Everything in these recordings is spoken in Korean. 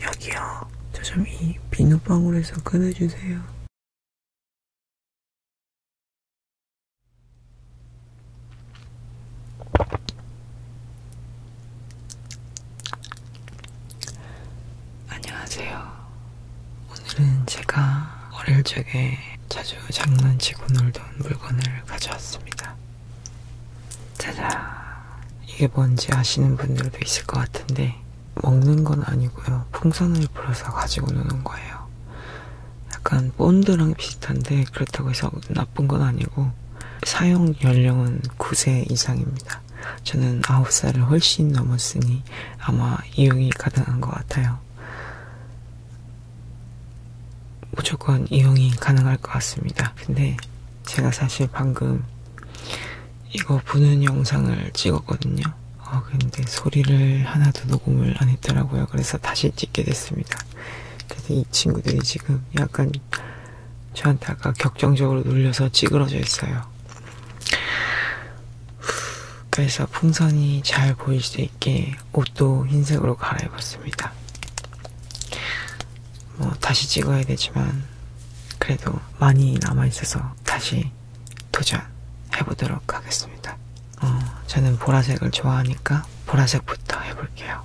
여기요. 저 좀 이 비눗방울에서 꺼내주세요. 안녕하세요. 오늘은 제가 어릴 적에 자주 장난치고 놀던 물건을 가져왔습니다. 짜잔! 이게 뭔지 아시는 분들도 있을 것 같은데, 먹는 건 아니고요. 풍선을 불어서 가지고 노는 거예요. 약간 본드랑 비슷한데, 그렇다고 해서 나쁜 건 아니고, 사용 연령은 9세 이상입니다. 저는 9살을 훨씬 넘었으니 아마 이용이 가능한 것 같아요. 무조건 이용이 가능할 것 같습니다. 근데 제가 사실 방금 이거 부는 영상을 찍었거든요. 어, 근데 소리를 하나도 녹음을 안 했더라고요. 그래서 다시 찍게 됐습니다. 그래서 이 친구들이 지금 약간 저한테가 격정적으로 눌려서 찌그러져 있어요. 그래서 풍선이 잘 보일 수 있게 옷도 흰색으로 갈아입었습니다. 뭐 다시 찍어야 되지만 그래도 많이 남아 있어서 다시 도전해 보도록 하겠습니다. 어, 저는 보라색을 좋아하니까 보라색부터 해볼게요.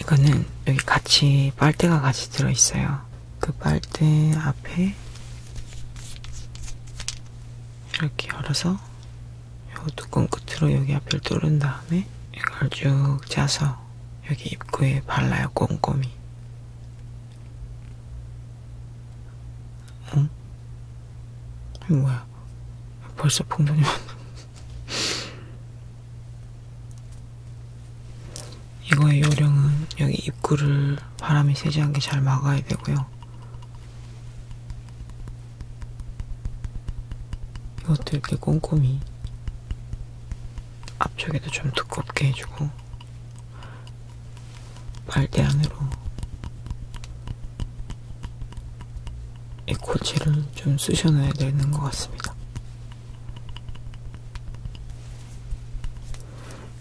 이거는 여기 같이 빨대가 같이 들어있어요. 그 빨대 앞에 이렇게 열어서 요 뚜껑 끝으로 여기 앞을 뚫은 다음에 이걸 쭉 짜서 여기 입구에 발라요, 꼼꼼히. 응? 이 뭐야? 벌써 봉선이 왔나? 이거의 요령은 여기 입구를 바람이 새지 않게 잘 막아야 되고요. 이것도 이렇게 꼼꼼히 앞쪽에도 좀 두껍게 해주고 발대 안으로 이 고체를 좀 쑤셔놔야 되는 것 같습니다.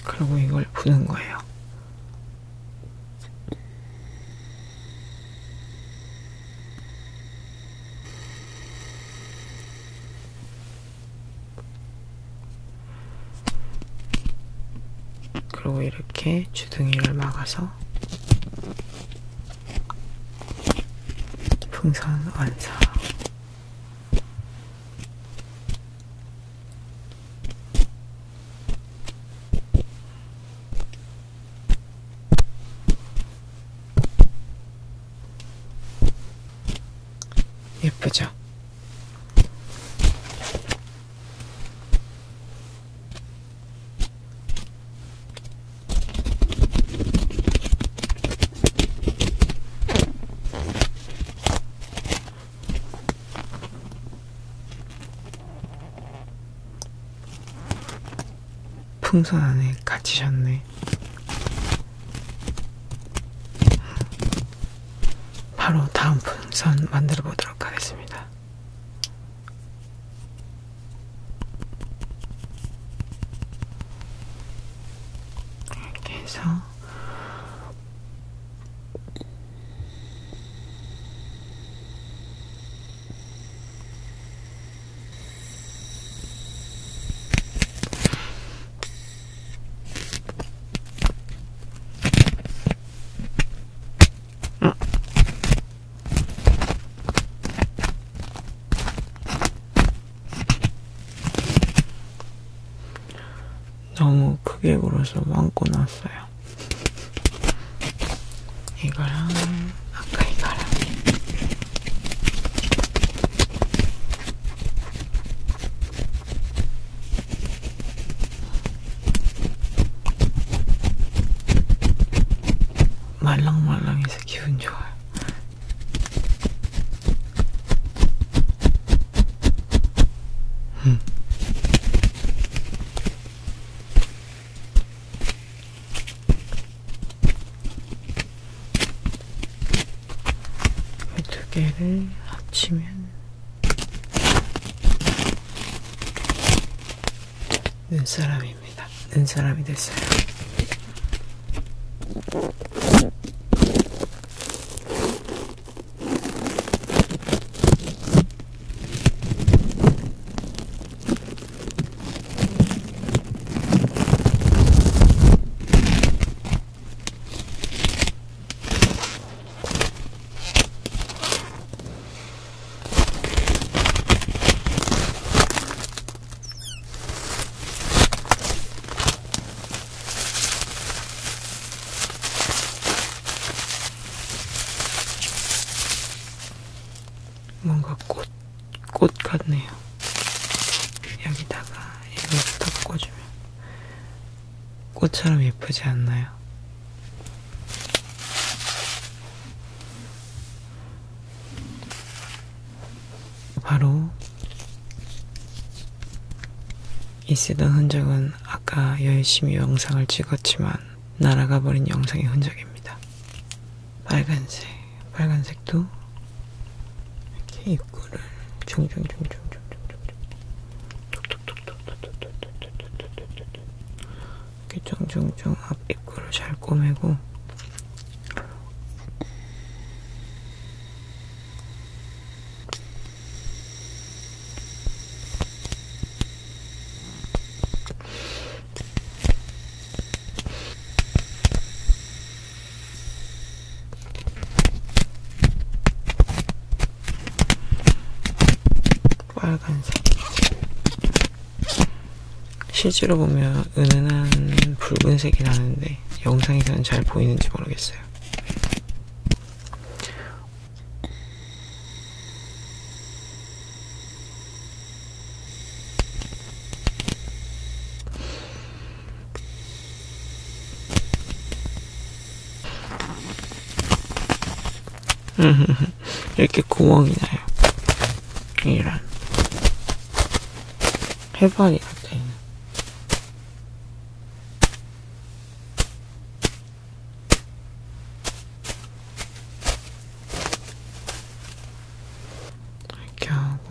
그리고 이걸 부는 거예요. 그리고 이렇게 주둥이를 막아서 풍선 완성. 예쁘죠? 풍선 안에 갇히셨네. 바로 다음 풍선 만들어 보도록 하겠습니다. 이렇게 해서 너무 크게 굴어서 왕고 났어요. 이거랑 아까 이거랑 말랑말랑해서 기분 좋아요. 음. 이두 개를 합치면 눈사람입니다. 눈사람이 됐어요. 뭔가 꽃꽃 같네요. 여기다가 이걸 딱 꽂으면 꽃처럼 예쁘지 않나요? 바로 이 쓰던 흔적은 아까 열심히 영상을 찍었지만 날아가 버린 영상의 흔적입니다. 빨간색, 빨간색도 이렇게 입구를 중중중중중중중중 이렇게 중중중 앞 입구를 잘 꼬매고 빨간색 실제로 보면 은은한 붉은색이 나는데 영상에서는 잘 보이는지 모르겠어요. 이렇게 구멍이 나요. 이런. 해발이 같아. 이렇게 하고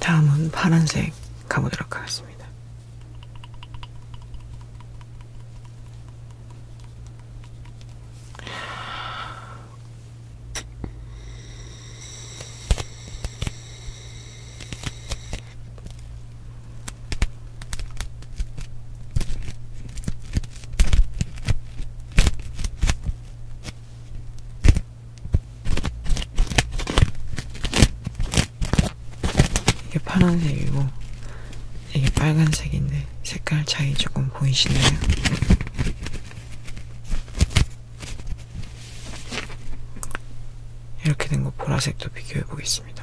다음은 파란색 가보도록 하겠습니다. 이게 파란색이고 이게 빨간색인데 네, 색깔 차이 조금 보이시나요? 이렇게 된 거 보라색도 비교해 보겠습니다.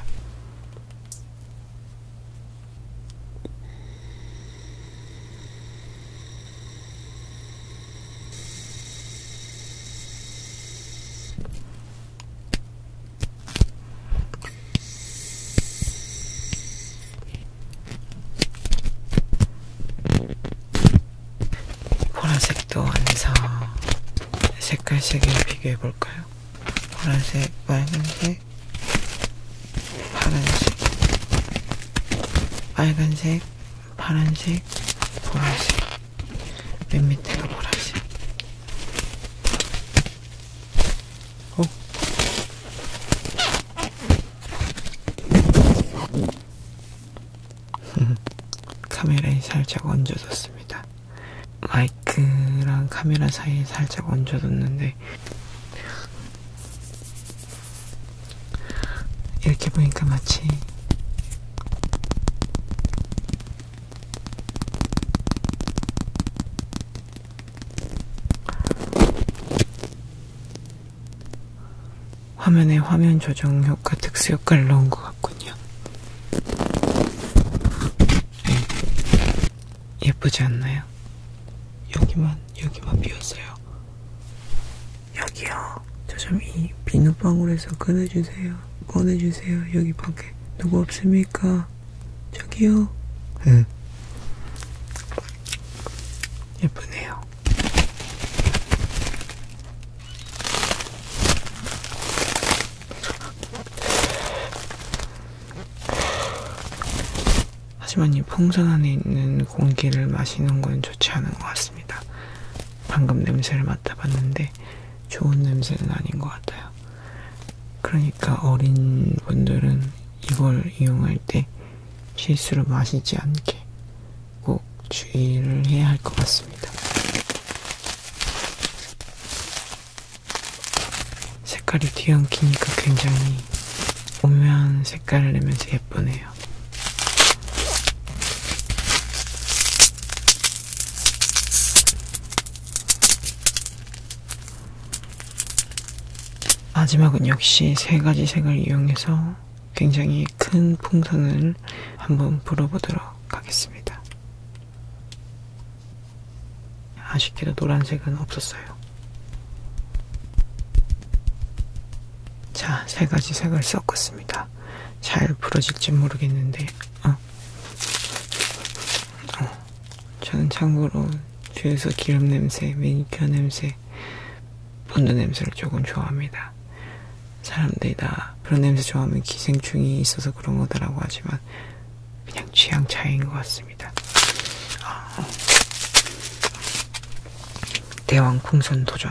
보라색도 완성. 색깔 색을 비교해 볼까요? 보라색, 빨간색, 파란색, 빨간색, 파란색, 보라색. 맨 밑에가 보라색. 어? 카메라에 살짝 얹어뒀습니다. 마이크랑 카메라 사이에 살짝 얹어뒀는데 이렇게 보니까 마치 화면에 화면 조정 효과 특수 효과를 넣은 것 같군요. 예쁘지 않나요? 여기만 여기만 비었어요. 여기요. 저 좀 이 비눗방울에서 꺼내주세요. 꺼내주세요. 여기 밖에 누구 없으면. 계십니까? 저기요. 응. 예. 예쁘네요. 하지만 이 풍선 안에 있는 공기를 마시는 건 좋지 않은 것 같습니다. 방금 냄새를 맡아봤는데 좋은 냄새는 아닌 것 같아요. 그러니까 어린 분들은 이걸 이용할 때 실수로 마시지 않게 꼭 주의를 해야 할 것 같습니다. 색깔이 뒤엉키니까 굉장히 오묘한 색깔을 내면서 예쁘네요. 마지막은 역시 세 가지 색을 이용해서 굉장히 큰 풍선을 한번 불어보도록 하겠습니다. 아쉽게도 노란색은 없었어요. 자, 세 가지 색을 섞었습니다. 잘 부러질지 모르겠는데, 어, 있어요. 아, 저는 참고로 뒤에서 기름 냄새, 매니큐어 냄새, 본드 냄새를 조금 좋아합니다. 사람들이 다 그런 냄새 좋아하면 기생충이 있어서 그런 거다라고 하지만 그냥 취향 차이인 것 같습니다. 아, 대왕 풍선 도전.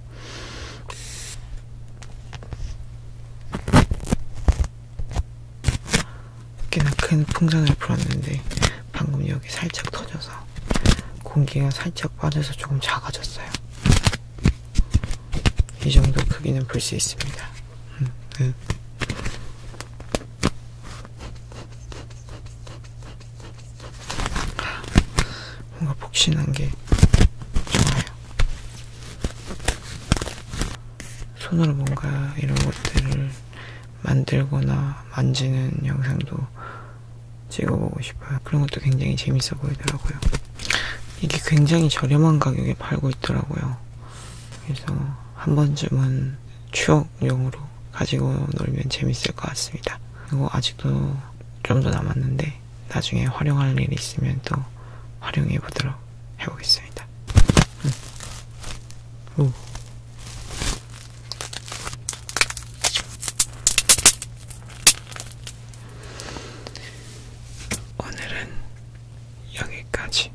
꽤나 큰 풍선을 불었는데 방금 여기 살짝 터져서 공기가 살짝 빠져서 조금 작아졌어요. 이 정도 크기는 볼 수 있습니다. 음, 네. 뭔가 복신한 게 좋아요. 손으로 뭔가 이런 것들을 만들거나 만지는 영상도 찍어보고 싶어요. 그런 것도 굉장히 재밌어 보이더라고요. 이게 굉장히 저렴한 가격에 팔고 있더라고요. 그래서 한 번쯤은 추억용으로 가지고 놀면 재밌을 것 같습니다. 이거 아직도 좀 더 남았는데 있는데 나중에 활용할 일이 있으면 또 활용해 보도록 해보겠습니다. 음. 오. 오늘은 여기까지.